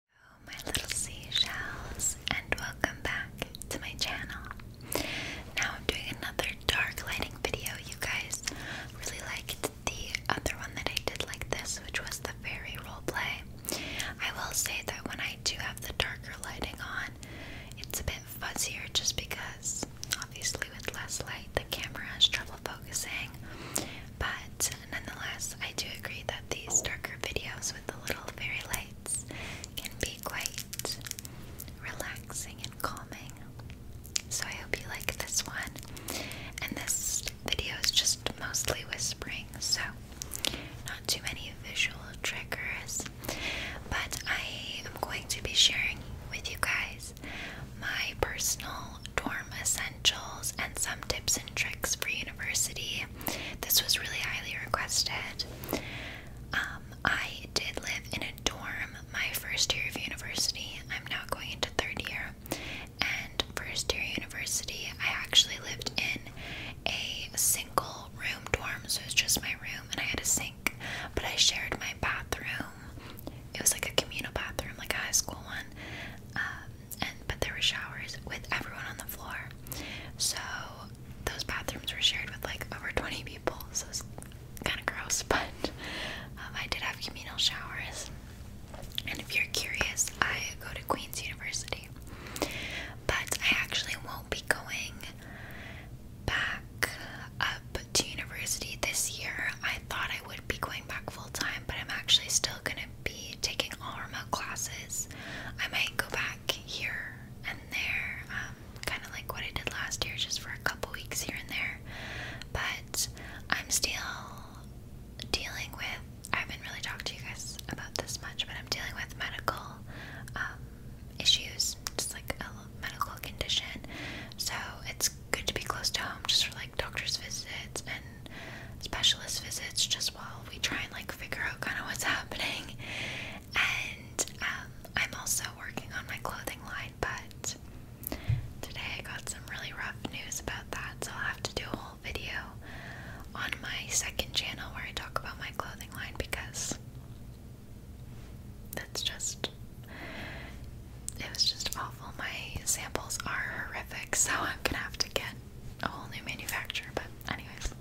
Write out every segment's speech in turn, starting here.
Hello my little seashells and welcome back to my channel. Now I'm doing another dark lighting video. You guys really liked the other one that I did like this, which was the fairy role play. I will say that when I do have the darker lighting on, it's a bit fuzzier just because obviously with less light the camera has trouble focusing. But nonetheless, I do agree that these darker videos with the little fairy lights can be quite relaxing and calming. So I hope you like this one. And this video is just mostly whispering, so not too many visual triggers. But I am going to be sharing with you guys my personal dorm ascent essentials and some tips and tricks for university. This was really highly requested. Um, I did live in a dorm my first year of university. I'm now going into third year. And first year university, I actually lived in a single room dorm, so it was just my room, and I had a sink, but I shared my bathroom. It was like a communal bathroom, like a high school one. Um, and but there were showers with everyone on the floor. So those bathrooms were shared with like over 20 people, so it's kind of gross. But um, I did have communal showers. And if you're curious, I go to Queen's University, but I actually won't be going back up to university this year. I thought I would be going back full time, but I'm actually still gonna be taking all remote classes. I might go back here and there, um, kind of like what I did last year, just for a couple weeks here and there. But I'm still dealing with, I haven't really talked to you guys about this much, but I'm dealing with medical um, issues, just like a medical condition. So it's good to be close to home just for like doctor's visits and specialist visits just while we try and like figure out kind of what's happening. And um, I'm also working on my clothing line, but today I got some really rough news about that, so I'll have to do a whole video on my second channel where I talk about my clothing line because that's just it was just awful. My samples are horrific, so I'm gonna have to get a whole new manufacturer, but anyways.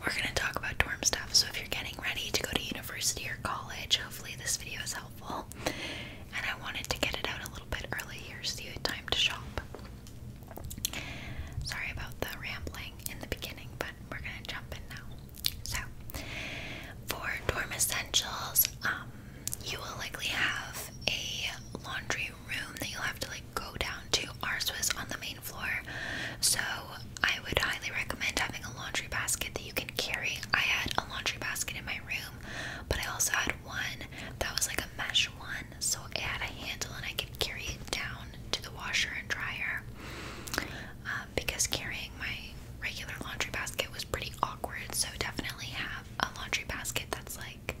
We're going to talk about dorm stuff, so if you're getting ready to go to university or college, hopefully this video is helpful. And I wanted to get it out a little bit early here so you had time to shop. Sorry about the rambling in the beginning, but we're going to jump in now. So, for dorm essentials, um, you will likely have a laundry room that you'll have to like go down to. Ours was on the main floor, so I would highly recommend having a laundry basket that you can carry. I had a laundry basket in my room, but I also had one that was like a mesh one, so it had a handle and I could carry it down to the washer and dryer. Um, because carrying my regular laundry basket was pretty awkward, so definitely have a laundry basket that's like like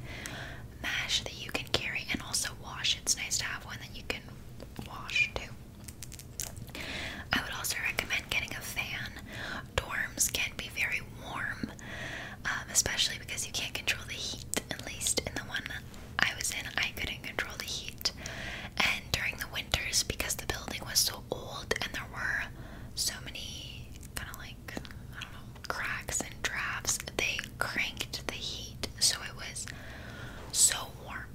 that you can carry and also wash. It's nice to have one that you can wash too. I would also recommend getting a fan. Dorms can be very warm, um, especially because you can't control the heat. At least in the one I was in, I couldn't control the heat. And during the winters, because the building was so old and there were so many kind of like, I don't know, cracks and drafts, they cranked the heat so it was so warm.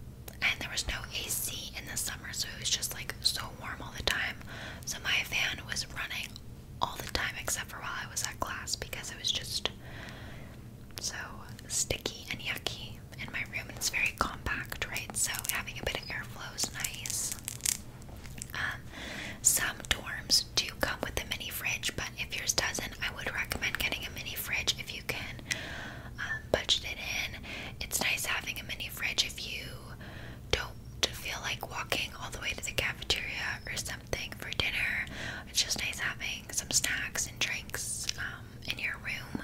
And there was no AC in the summer, so it was just like so warm all the time. So my fan was running all the time except for while I was at class because it was just so sticky and yucky in my room. And it's very compact, right? So having a bit of airflow is nice. Um, some dorms do come with a mini fridge, but if yours doesn't, I would recommend getting a mini fridge if you can um, budget it in. It's nice having a mini fridge if you don't feel like walking all the way to the cafeteria or something for dinner. It's just nice having some snacks and drinks um, in your room.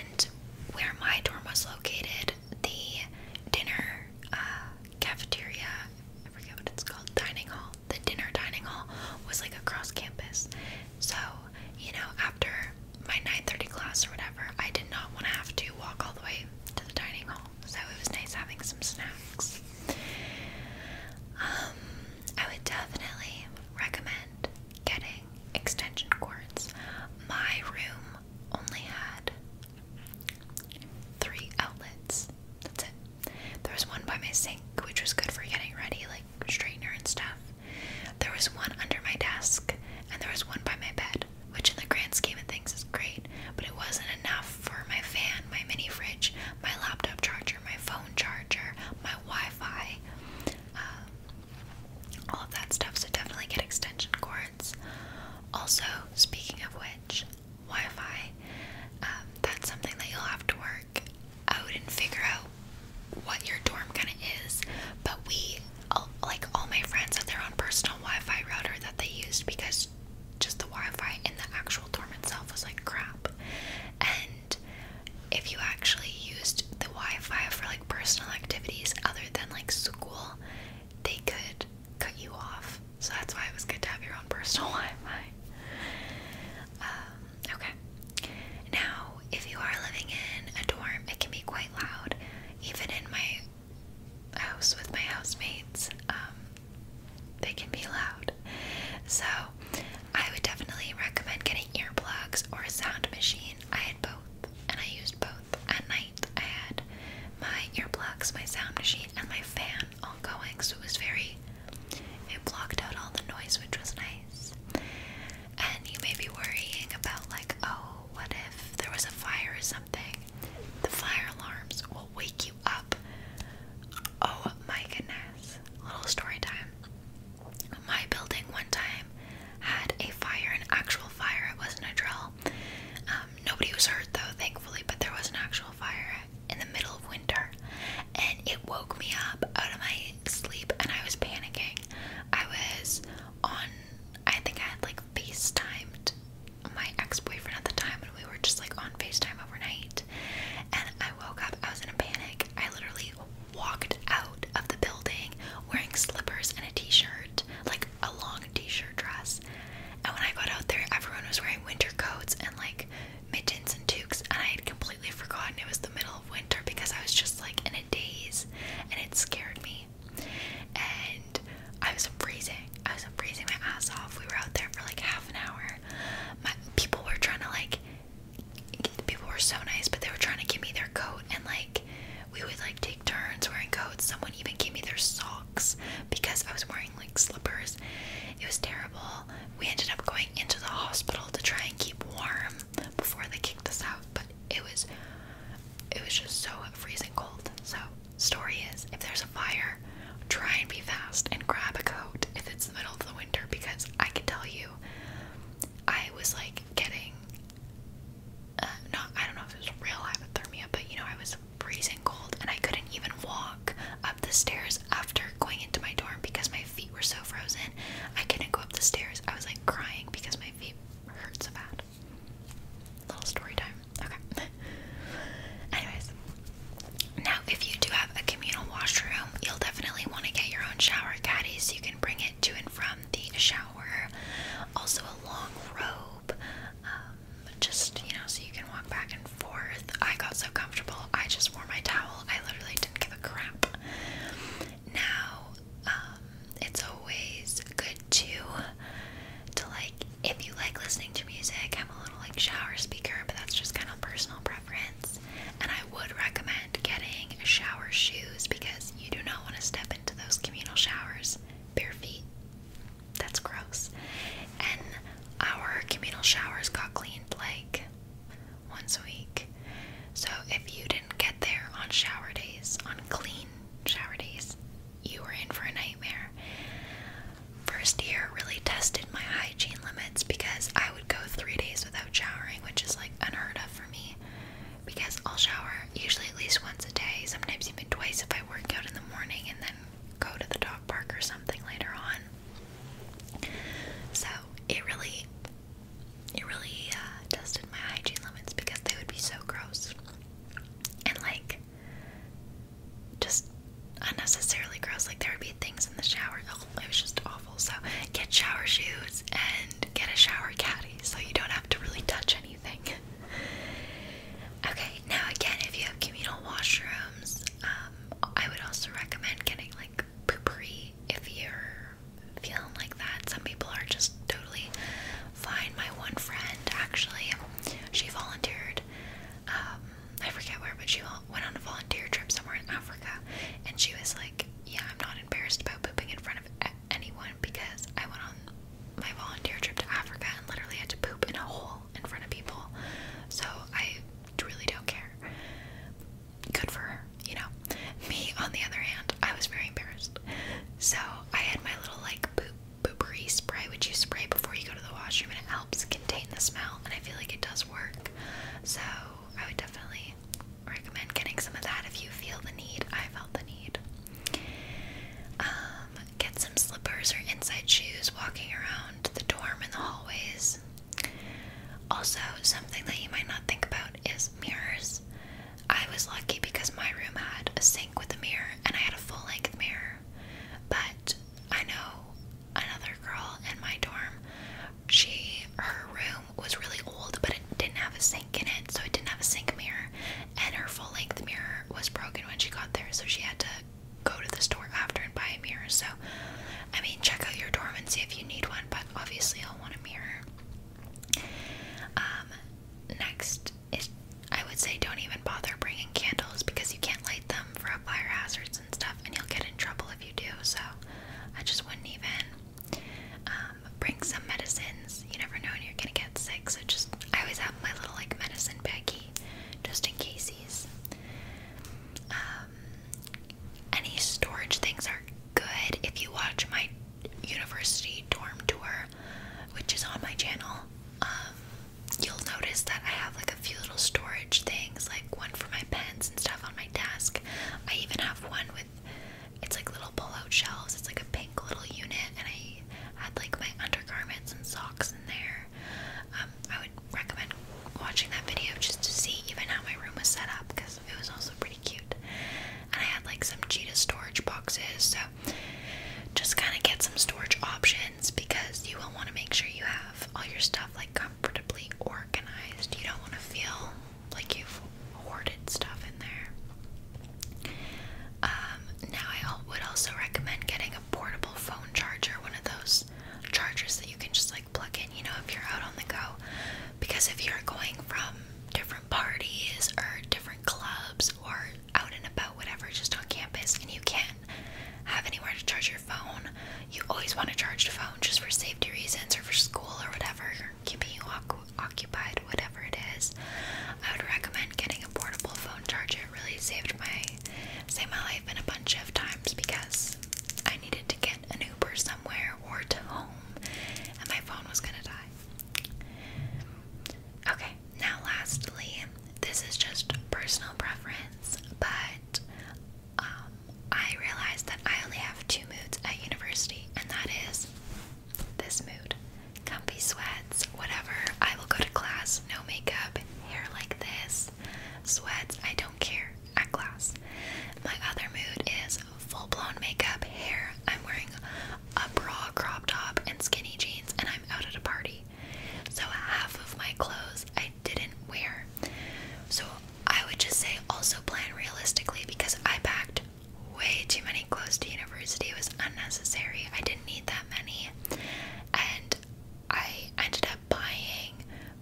And where my dorm was located, the dinner uh, cafeteria, I forget what it's called, dining hall the dinner dining hall, was like across campus. So, you know, after my 9:30 class or whatever, I did not want to have to walk all the way to the dining hall. So it was nice having some snacks. Um, I would definitely recommend getting extension cords. My room only had three outlets. That's it. There was one by my sink, which was good for getting ready, like straightener and stuff. There was one under my desk, and there was one by my bed, which in the grand scheme of things is great, but it wasn't enough for my fan, my mini fridge, my laptop charger, my phone charger, my Wi Fi, um, all of that stuff. So definitely get extension cords. Also, speaking of which, Wi-Fi. Um, that's something that you'll have to work out and figure out what your dorm kind of is. But we, all, like all my friends, had their own personal Wi-Fi router that they used because just the Wi-Fi in the actual dorm itself was like crap. And if you actually used the Wi-Fi for like personal activities other than like school, they could cut you off so that's why it was good to have your own personal Wi um, okay. Now, if you are living in a dorm, it can be quite loud. Even in my house with my housemates, um, they can be loud. So, I would definitely recommend getting earplugs or a sound machine. I had both, and I used both. At night, I had my earplugs, my sound machine, and my fan ongoing, so it was very. It blocked out all the noise, which was nice. And you may be worrying about, like, oh, what if there was a fire or something? The fire alarms will wake you up. Oh my goodness. Little story time. My building one time had a fire, an actual fire. It wasn't a drill. Um, nobody was hurt though, thankfully, but there was an actual fire in the middle of winter and it woke me up out of my sleep and I was panicking. I was on I think I had like FaceTimed my ex-boyfriend at the time and we were just like on FaceTime overnight and I woke up, I was in a panic. I literally walked out of the building wearing slippers and a t-shirt, like a long t-shirt dress. And when I got out there everyone was wearing winter coats and like mittens and Tukes, and I had completely forgotten it was the middle of winter because I was just like in a daze and it scared me. And I was freezing. I was freezing my ass off. We were out there for like half an hour. My people were trying to like people were so nice, but they were trying to give me their coat and like we would like take turns wearing coats. Someone even gave me their socks because I was wearing like slippers. It was terrible we ended up going into the hospital to try and keep warm before they kicked us out, but it was it was just so freezing cold. So story is if there's a fire, try and be fast and grab a coat if it's the middle of the winter because I can tell you I was like getting uh, I don't know if it was real hypothermia, but you know, I was freezing cold and I couldn't even walk up the stairs after going into my dorm because my feet were so frozen. I couldn't go up the stairs. I was like crying because my feet hurt so bad. Little story time. Okay. Anyways, now if you do have a communal washroom, you'll definitely want to get your own shower caddy so you can bring it to and from the shower. Also, a long robe, um, just you know, so you walk back and forth. I got so comfortable, I just wore my towel. I literally didn't give a crap. Now, um, it's always good to, to like, if you like listening to music, I'm a little like shower speaker, but that's just kind of personal preference. And I would recommend getting shower shoes because you do not want to step into those communal showers bare feet. That's gross. And our communal showers got cleaned like once a week. So if you didn't get there on shower days, on clean shower days, you were in for a nightmare. First year really tested my hygiene limits because I would go three days without showering, which is like unheard of for me because I'll shower usually at least once a day, sometimes even twice if I work out in the morning and then go to the dog park or something later on. So it really, it really tested uh, my hygiene limits because they would be so gross and like just unnecessarily gross. Like there would be things in the shower. Oh, it was just awful. So get shower shoes and get a shower caddy so you don't have to really touch anything. okay, now again, if you have communal washrooms. Um, I would also recommend getting like poopery if you're feeling like that. Some people are just totally fine. My one friend actually, she volunteered. Um, I forget where, but she went on a volunteer trip somewhere in Africa, and she was like, "Yeah, I'm not embarrassed about pooping in front of anyone because I went on my volunteer trip to Africa and literally had to poop in a hole in front of people. So I really don't care. Good for her, you know. Me, on the other hand, I was very embarrassed. So I had my little like poop poopery spray, which you spray before you go to the washroom, and it helps contain the smell. And I feel like it does work. So I would definitely recommend getting some of that if you feel the need. I felt the need. Um, get some slippers or inside shoes walking around the dorm in the hallways. Also, something that you might not think about is mirrors. I was lucky because my room had a sink with a mirror and I had a full length mirror. But I know another girl in my dorm, she her room was really old but it didn't have a sink in it, so it didn't have a sink mirror and her full length mirror was broken when she got there, so she had to go to the store after and buy a mirror. So, I mean, check out your dorm and see if you need one, but obviously, I'll want a mirror. Um, next is I would say don't even bother bringing candles because you can't light them for fire hazards and stuff, and you'll get in trouble if you do. So, I just wouldn't even um, bring some medicines. You never know when you're gonna get sick, so just I always have my little like medicine baggie just in cases. Um, any storage things are good. If you watch my university dorm tour, which is on my channel, um, you'll notice that I have like a few little storage things, like one for my pens and stuff on my desk. I even have one with it's like little pull-out shelves. It's like a pink little unit, and I had like my undergarments and socks in there. Um, recommend watching that video just to see even how my room was set up because it was also pretty cute. And I had like some cheetah storage boxes, so just kind of get some storage options because you will want to make sure you have all your stuff like comfortably organized. You don't want to feel like you've hoarded stuff in there. Um, now I would also recommend getting a portable phone charger, one of those chargers that you can just like plug in, you know, if you're out on the go. Because if you're going from different parties or different clubs or out and about, whatever, just on campus, and you can't have anywhere to charge your phone, you always want to charge your phone just for safety reasons or for school or whatever, keeping you occupied, whatever it is. I would recommend getting a portable phone charger. It really saved my save my life in a bunch of times because I needed to get an Uber somewhere or to home and my phone was gonna die. Okay, now lastly, this is just personal preference, but um, I realized that I only have two moods at university, and that is this mood comfy sweats, whatever. I will go to class, no makeup, hair like this. Sweats, I don't care, at class. My other mood is full blown makeup, hair. I'm wearing a bra, crop top, and skinny jeans, and I'm out at a party. So half of my clothes I didn't wear. So I would just say also plan realistically because I packed way too many clothes to university. It was unnecessary. I didn't need that many. And I ended up buying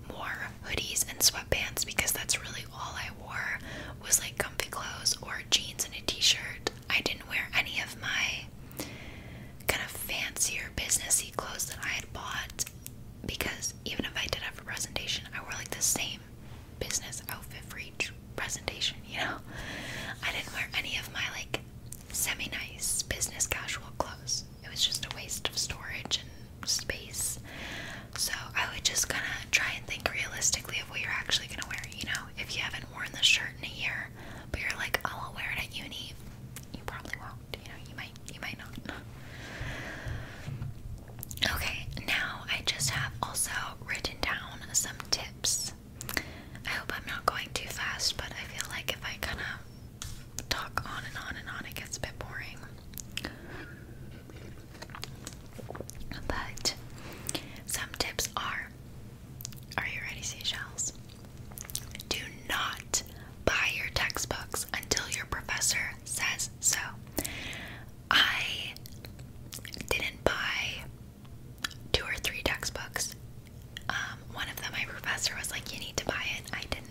more hoodies and sweatpants because that's really all I wore was like comfy clothes or jeans and a t-shirt. I didn't wear any of my kind of fancier businessy clothes that I had bought because even if I did have a presentation, I wore like the same business outfit for each presentation, you know? I didn't wear any of my like semi nice business casual clothes it was just a waste of storage and space. So I would just kind of try and think realistically of what you're actually gonna wear. You know, if you haven't worn this shirt in a year, but you're like, oh, I'll wear it at uni, you probably won't. You know, you might, you might not. Okay, now I just have also written down some tips. I hope I'm not going too fast, but I feel like if I kind of talk on and on and on, it gets a bit boring. But some tips are Are you ready, seashells? Do not buy your textbooks until your professor says so. I didn't buy two or three textbooks. Um, one of them, my professor was like, You need to buy it. I did not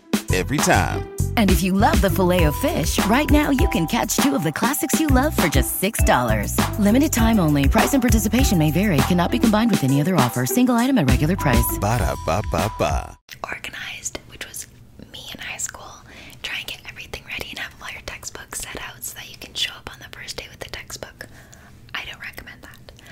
every time. And if you love the filet of fish, right now you can catch two of the classics you love for just $6. Limited time only. Price and participation may vary. Cannot be combined with any other offer. Single item at regular price. Ba da ba ba ba. Organized, which was me in high school. Try and get everything ready and have all your textbooks set out so that you can show up on the first day with the textbook. I don't recommend that it.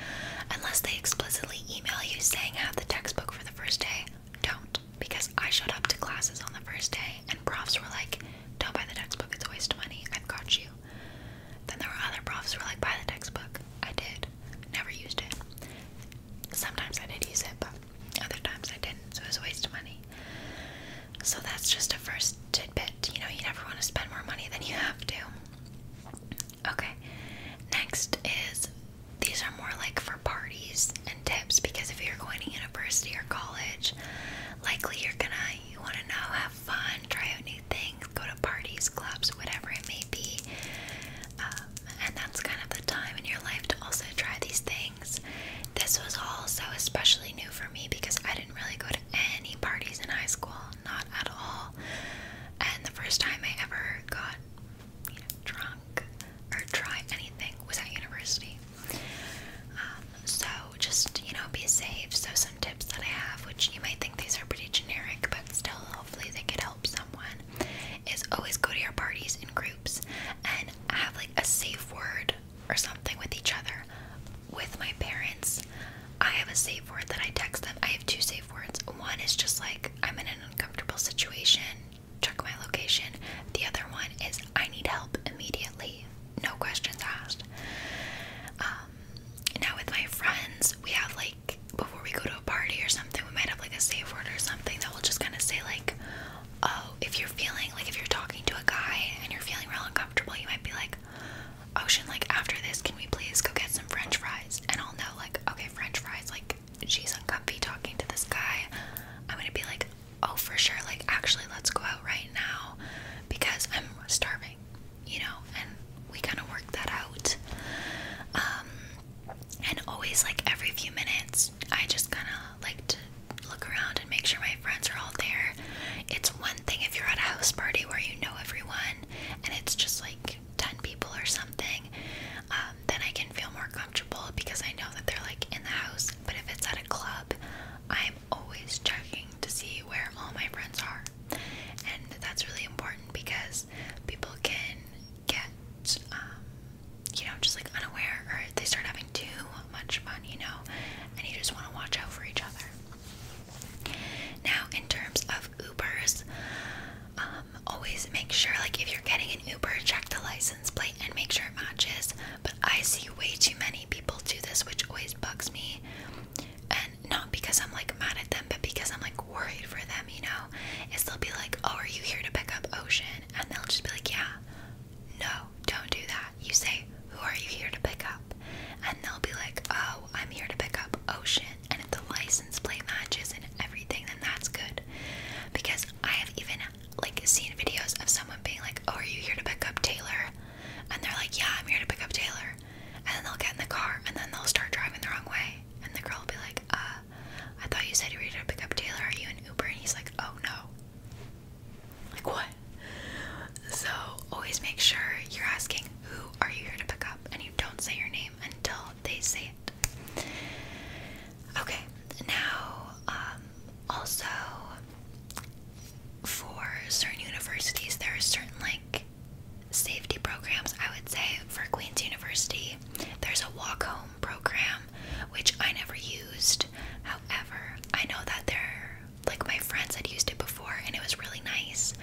Unless they explicitly email you saying have the textbook for the first day, don't. Because I showed up to classes on the first day and profs were like, don't buy the textbook, it's a waste of money, I've got you. Then there were other profs who were like, buy the textbook. I did. Never used it. Sometimes I did use it, but other times I didn't, so it was a waste of money. So that's just a first tidbit. You know, you never want to spend more money than you have to. Okay. Next is these are more like for parties and tips because if you're going to university or college, likely you're gonna you want to know, have fun, try out new things, go to parties, clubs, whatever it may be. Um, and that's kind of the time in your life to also try these things. This was also especially new for me because I didn't really go to any parties in high school, not at all. And the first time I ever got drunk or try anything without university. Um, so just, you know, be safe. So some tips that I have, which you might think these are pretty generic, but still hopefully they could help someone, is always go to your parties in groups and have like a safe word or something with each other. With my parents, I have a safe word that I text them. I have two safe words. One is just like, I'm in an uncomfortable situation, check my location. The other one is, I need help immediately, no questions asked. Um, now, with my friends, we have like, before we go to a party or something, we might have like a safe word or something that will just kind of say, like, oh, if you're feeling like if you're talking to a guy and you're feeling real uncomfortable, you might be like, Ocean, oh, like after this, can we please go get some french fries? and I'll know like okay french fries like she's uncomfy talking to this guy I'm gonna be like oh for sure like actually let's go out right now because I'm starving you know and we kind of work that out um and always like every few minutes I just kind of like to look around and make sure my friends are all there it's one thing if you're at a house party where you know everyone and it's just like 10 people or something, um, then I can feel more comfortable because I know that they're like in the house. But if it's at a club, I'm always checking to see where all my friends are. And that's really important because people can get, um, you know, just like unaware or they start having too much fun, you know, and you just want to watch out for each other. Now, in terms of Ubers, um, um, always make sure, like if you're getting an Uber, check the license plate and make sure it matches. But I see way too many people do this, which always bugs me. And not because I'm like mad at them, but because I'm like worried for them, you know? Is they'll be like, Oh, are you here to pick up Ocean? And they'll just be like, Yeah, no, don't do that. You say, Who are you here to pick up? And they'll be like, Oh, I'm here to pick up Ocean and if the license plate matches and everything, then that's good. Because I have even like seen videos of someone being like, "Oh, are you here to pick up Taylor?" And they're like, "Yeah, I'm here to pick up Taylor." And then they'll get in the car and then they'll start driving the wrong way, and the girl will be like, "Uh, I thought you said you were here to pick up Taylor. Are you an Uber?" And he's like, "Oh no." Like what? So always make sure you're asking who are you here to pick up, and you don't say your name until they say it. Okay, now um, also for certain universities, there are certain like safety programs. I would say for Queen's University, there's a walk home program, which I never used. However, I know that there, like my friends had used it before, and it was really nice.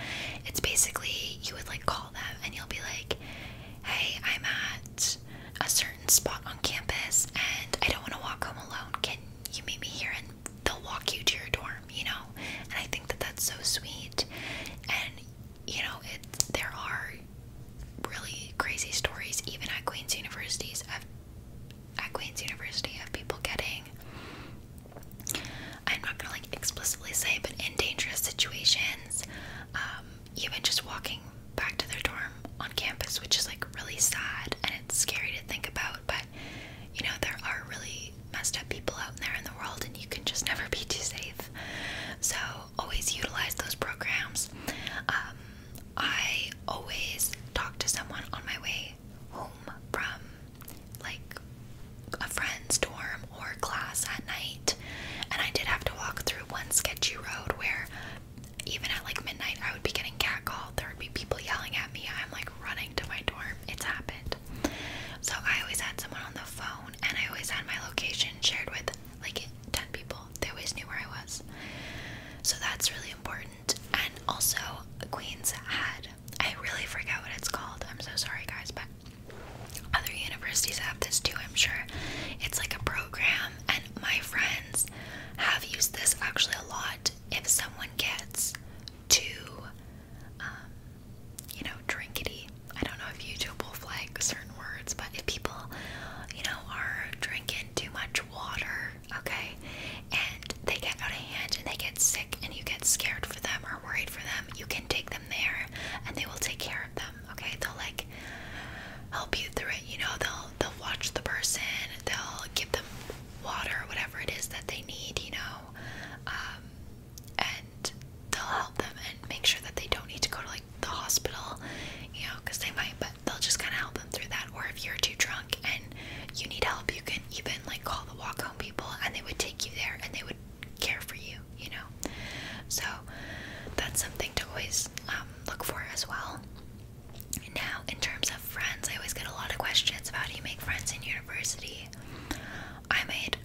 It's basically you would like call them, and you'll be like, hey, I'm at a certain spot on campus and I don't want to walk home alone. Can you meet me here? And they'll walk you to your dorm, you know? And I think that that's so sweet. And, you know, it's there are really crazy stories, even at Queen's Universities, at Queen's University, of people getting, I'm not gonna like explicitly say, but in dangerous situations um, even just walking back to their dorm on campus, which is like really sad and it's scary to think about. But you know, there are really messed up people out there in the world, and you can just never be too safe. So, always utilize those programs. Um, I always talk to someone on my way home from like a friend's dorm or class at night. And I did have to walk through one sketchy road where even at like midnight I would be getting catcalled. There would be people yelling at me. I'm like running to my dorm. It's happened. So I always had someone on the phone and I always had my location shared with like 10 people. They always knew where I was. So that's really important. And also Queens had I really forget what it's called. I'm so sorry guys, but other universities have this too, I'm sure. It's like a program, and my friends have used this actually a lot. If someone gets too, um, you know, drinkety, I don't know if YouTube will flag certain words, but if people, you know, are drinking too much water, okay, and they get out of hand and they get sick, and you get scared for them or worried for them, you can take them there and they will take care of them them. Okay, they'll like help you through it. You know, they'll they'll watch the person. They'll give them water, whatever it is that they need. You know, um, and they'll help them and make sure that they don't need to go to like the hospital. You know, because they might, but they'll just kind of help them through that. Or if you're too drunk and you need help, you can even like call the walk home people, and they would take you there and they would care for you you know? So that's something to always um, look for as well. Now, in terms of friends, I always get a lot of questions about how do you make friends in university. I made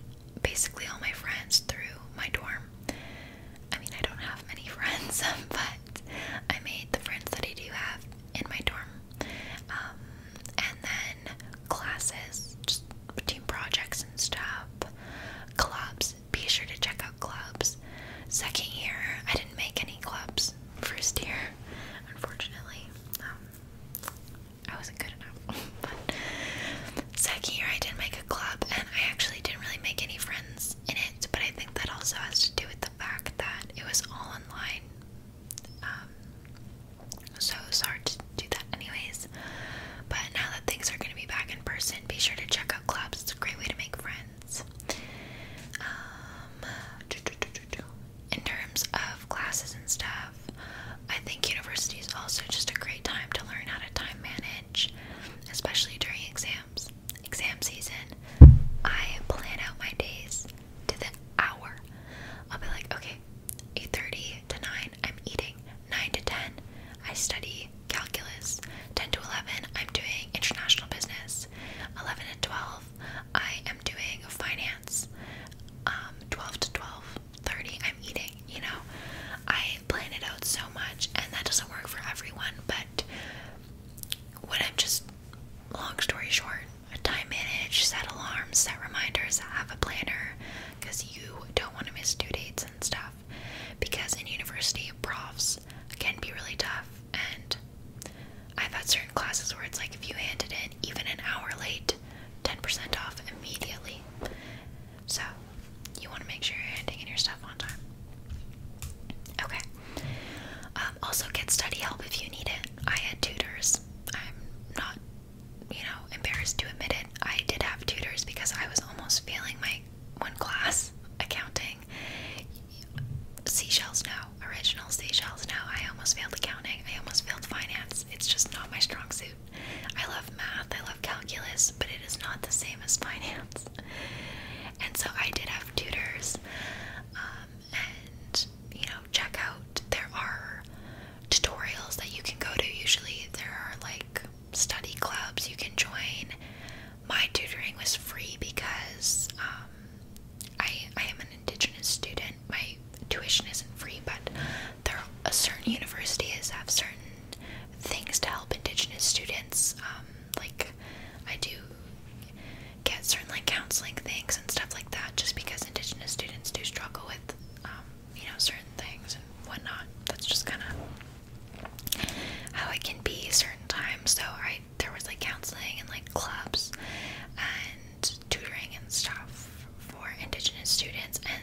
basically all my friends through my dorm. I mean, I don't have many friends, but I made the friends that I do have in my dorm. Um, and then classes, just team projects and stuff. Clubs. Be sure to check out clubs. Second year, I didn't make any clubs. First year, unfortunately, um, I wasn't good enough. but second year, I did make a club, and I actually didn't really make any friends in it. But I think that also has to do with the fact that it was all online. Um, so it was hard to do that anyways. But now that things are going to be back in person, be sure to check out clubs. It's a great way to make friends. Um, in terms of classes and stuff, I think university is also just a great time to learn how to time manage, especially during exams. Exam season, I plan out my days to the hour. I'll be like, okay, 8:30 to 9 I'm eating. 9 to 10, I study calculus. 10 to 11, I'm doing international business. 11 and 12, I am doing finance. Um, 12 to 12, 30, I'm eating. You know, I plan it out so much, and that doesn't work for everyone. But what I'm just, long story short, time manage, set alarms, set reminders, have a planner because you don't want to miss due dates and stuff because in university, profs can be really tough. And I've had certain classes where it's like if you handed in even an hour late, 10% off immediately. So you want to make sure you're handing in your stuff on time. Okay. Um, also, get study help if you need it. I had tutors. I'm not, you know, embarrassed to admit it. I did have tutors because I was almost failing my one class accounting. Seashells, no. Original seashells, no. I almost failed accounting. I almost failed finance. It's just not my strong suit. I love math. I love calculus, but it is not the same as finance. And so I did have tutors. Um, and, you know, check out. There are tutorials that you can go to. Usually there are like study clubs you can join. My tutoring was free because um, I I am an Indigenous student. My tuition isn't free, but there are certain universities have certain things to help Indigenous students. Um, like I do get certain like counseling things and stuff like that, just because Indigenous students do struggle with um, you know, certain things and whatnot. That's just kind of how it can be certain times. So I there was like counseling and like clubs and tutoring and stuff for indigenous students, and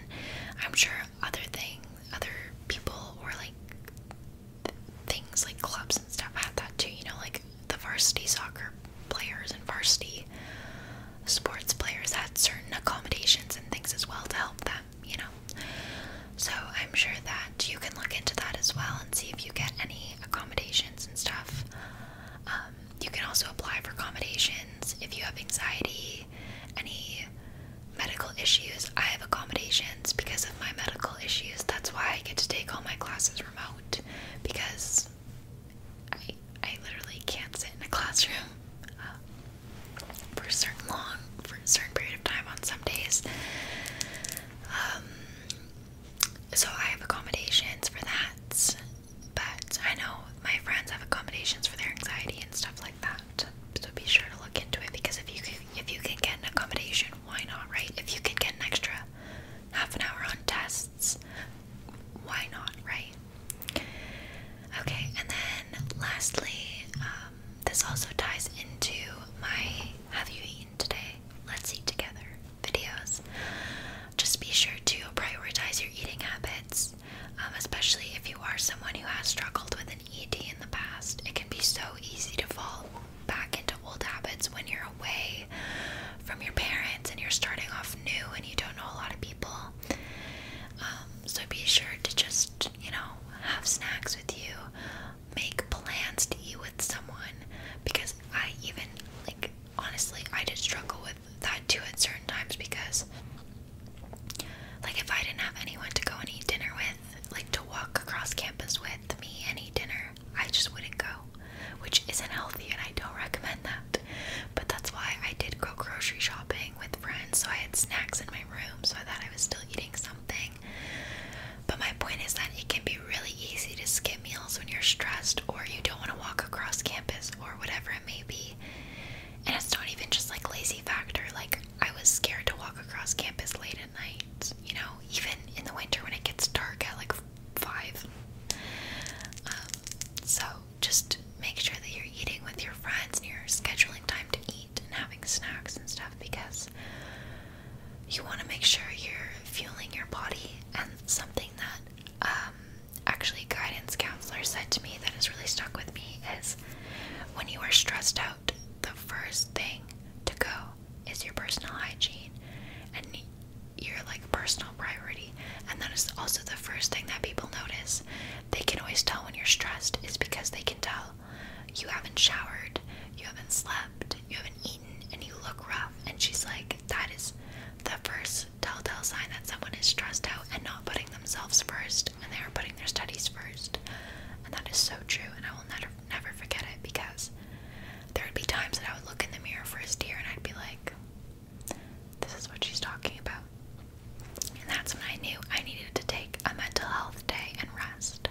I'm sure other things, other people or like th things like clubs and stuff had that too. You know, like the varsity soccer players and varsity sports players had certain accommodations and things as well to help them you know. So I'm sure that you can look into that as well and see if you get any accommodations and stuff. Um, you can also apply for accommodations if you have anxiety, any medical issues. I have accommodations because of my medical issues. That's why I get to take all my classes remote because I I literally can't sit in a classroom. Um, for a certain long, for a certain period of time on some days. Um, so I have accommodations for that, but I know my friends have accommodations for their anxiety and stuff like that. So be sure to look into it because if you if you can get an accommodation, why not, right? If you can get an extra half an hour on tests, why not, right? Okay, and then lastly, um, this also ties into my Have You Eaten Today? Let's Eat Together videos. Just be sure to prioritize your eating habits, um, especially if you are someone who has struggled with an ED in the past. It can be so easy to fall back into old habits when you're away from your parents and you're starting off new and you don't know a lot of people. Um, so be sure to just just, you know, have snacks with you, make plans to eat with someone because I even like honestly, I did struggle with that too at certain times because like if I didn't have anyone to go and eat dinner with, like to walk across campus with me and eat dinner, I just wouldn't go, which isn't healthy and I don't recommend that. But that's why I did go grocery shopping with friends so I had snacks in my my room, so I thought I was still eating something. But my point is that it can be really easy to skip meals when you're stressed or you don't want to walk across campus or whatever it may be. And it's not even just like lazy factor, like I was scared to walk across campus late at night, you know, even in the winter when it gets dark at like 5. Um, so just make sure that you're eating with your friends and you're scheduling time to eat and having snacks and stuff because you want to make sure you're fueling your body and something that um, actually guidance counselor said to me that has really stuck with me is when you are stressed out the first thing to go is your personal hygiene and your like personal priority and that is also the first thing that people notice they can always tell when you're stressed is because they can tell you haven't showered, you haven't slept, you haven't eaten, and you look rough. And she's like, That is the first telltale sign that someone is stressed out and not putting themselves first, and they are putting their studies first. And that is so true, and I will never, never forget it because there would be times that I would look in the mirror for a steer and I'd be like, This is what she's talking about. And that's when I knew I needed to take a mental health day and rest.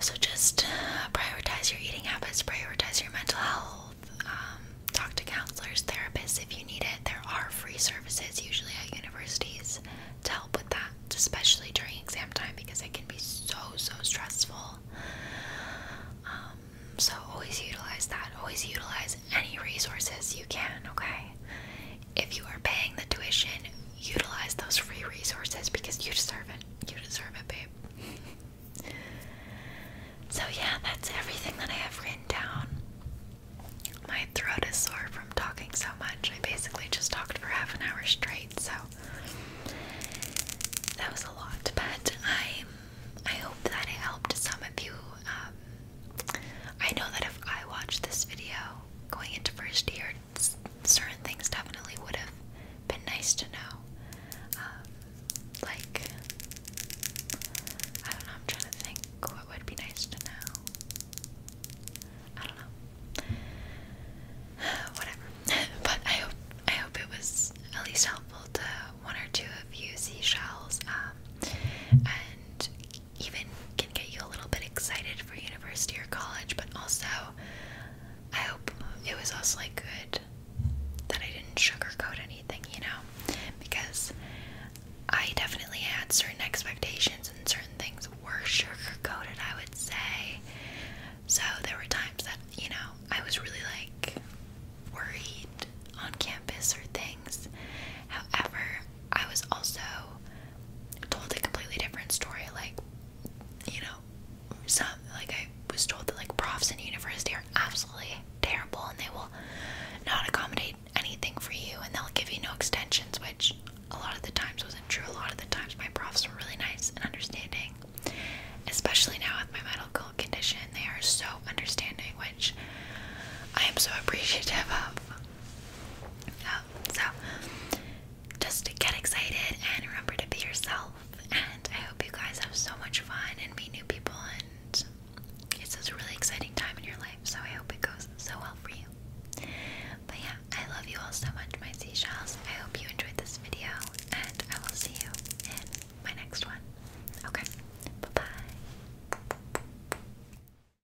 So just uh, prioritize your eating habits, prioritize your mental health. Um, talk to counselors, therapists if you need it. There are free services usually at universities to help with that, especially during exam time because it can be so, so stressful. Um, so always utilize that. Always utilize any resources you can, okay? if you are paying the tuition, utilize those free resources because you deserve it. You deserve it, babe. so, yeah, that's everything that I have written down. My throat is sore from talking so much. I basically just talked for half an hour straight, so that was a lot. But I, I hope that it helped some of you uh, um, I know that if I watched this video going into first year, certain things definitely would have been nice to know. Um, like, I don't know, I'm trying to think what would be nice to know. I don't know. Whatever. but I hope I hope it was at least helpful to one or two of you seashells. Um, and even can get you a little bit excited for university or college, but also I hope it was also like good that I didn't sugarcoat anything, you know, because I definitely had certain expectations and certain things were sugarcoated, I would say. So there were times that, you know, I was really like worried on campus or things. However, I was also told a completely different story. Like, you know, some like I was told that like profs in university are absolutely terrible and they will not accommodate anything for you and they'll give you no extensions, which a lot of the times wasn't true. A lot of the times my profs were really nice and understanding. Especially now with my medical condition, they are so understanding, which I am so appreciative of so just get excited and remember to be yourself. And I hope you guys have so much fun and meet new people. And it's just a really exciting time in your life. So I hope it goes so well for you. But yeah, I love you all so much, my seashells. I hope you enjoyed this video, and I will see you in my next one. Okay, bye bye.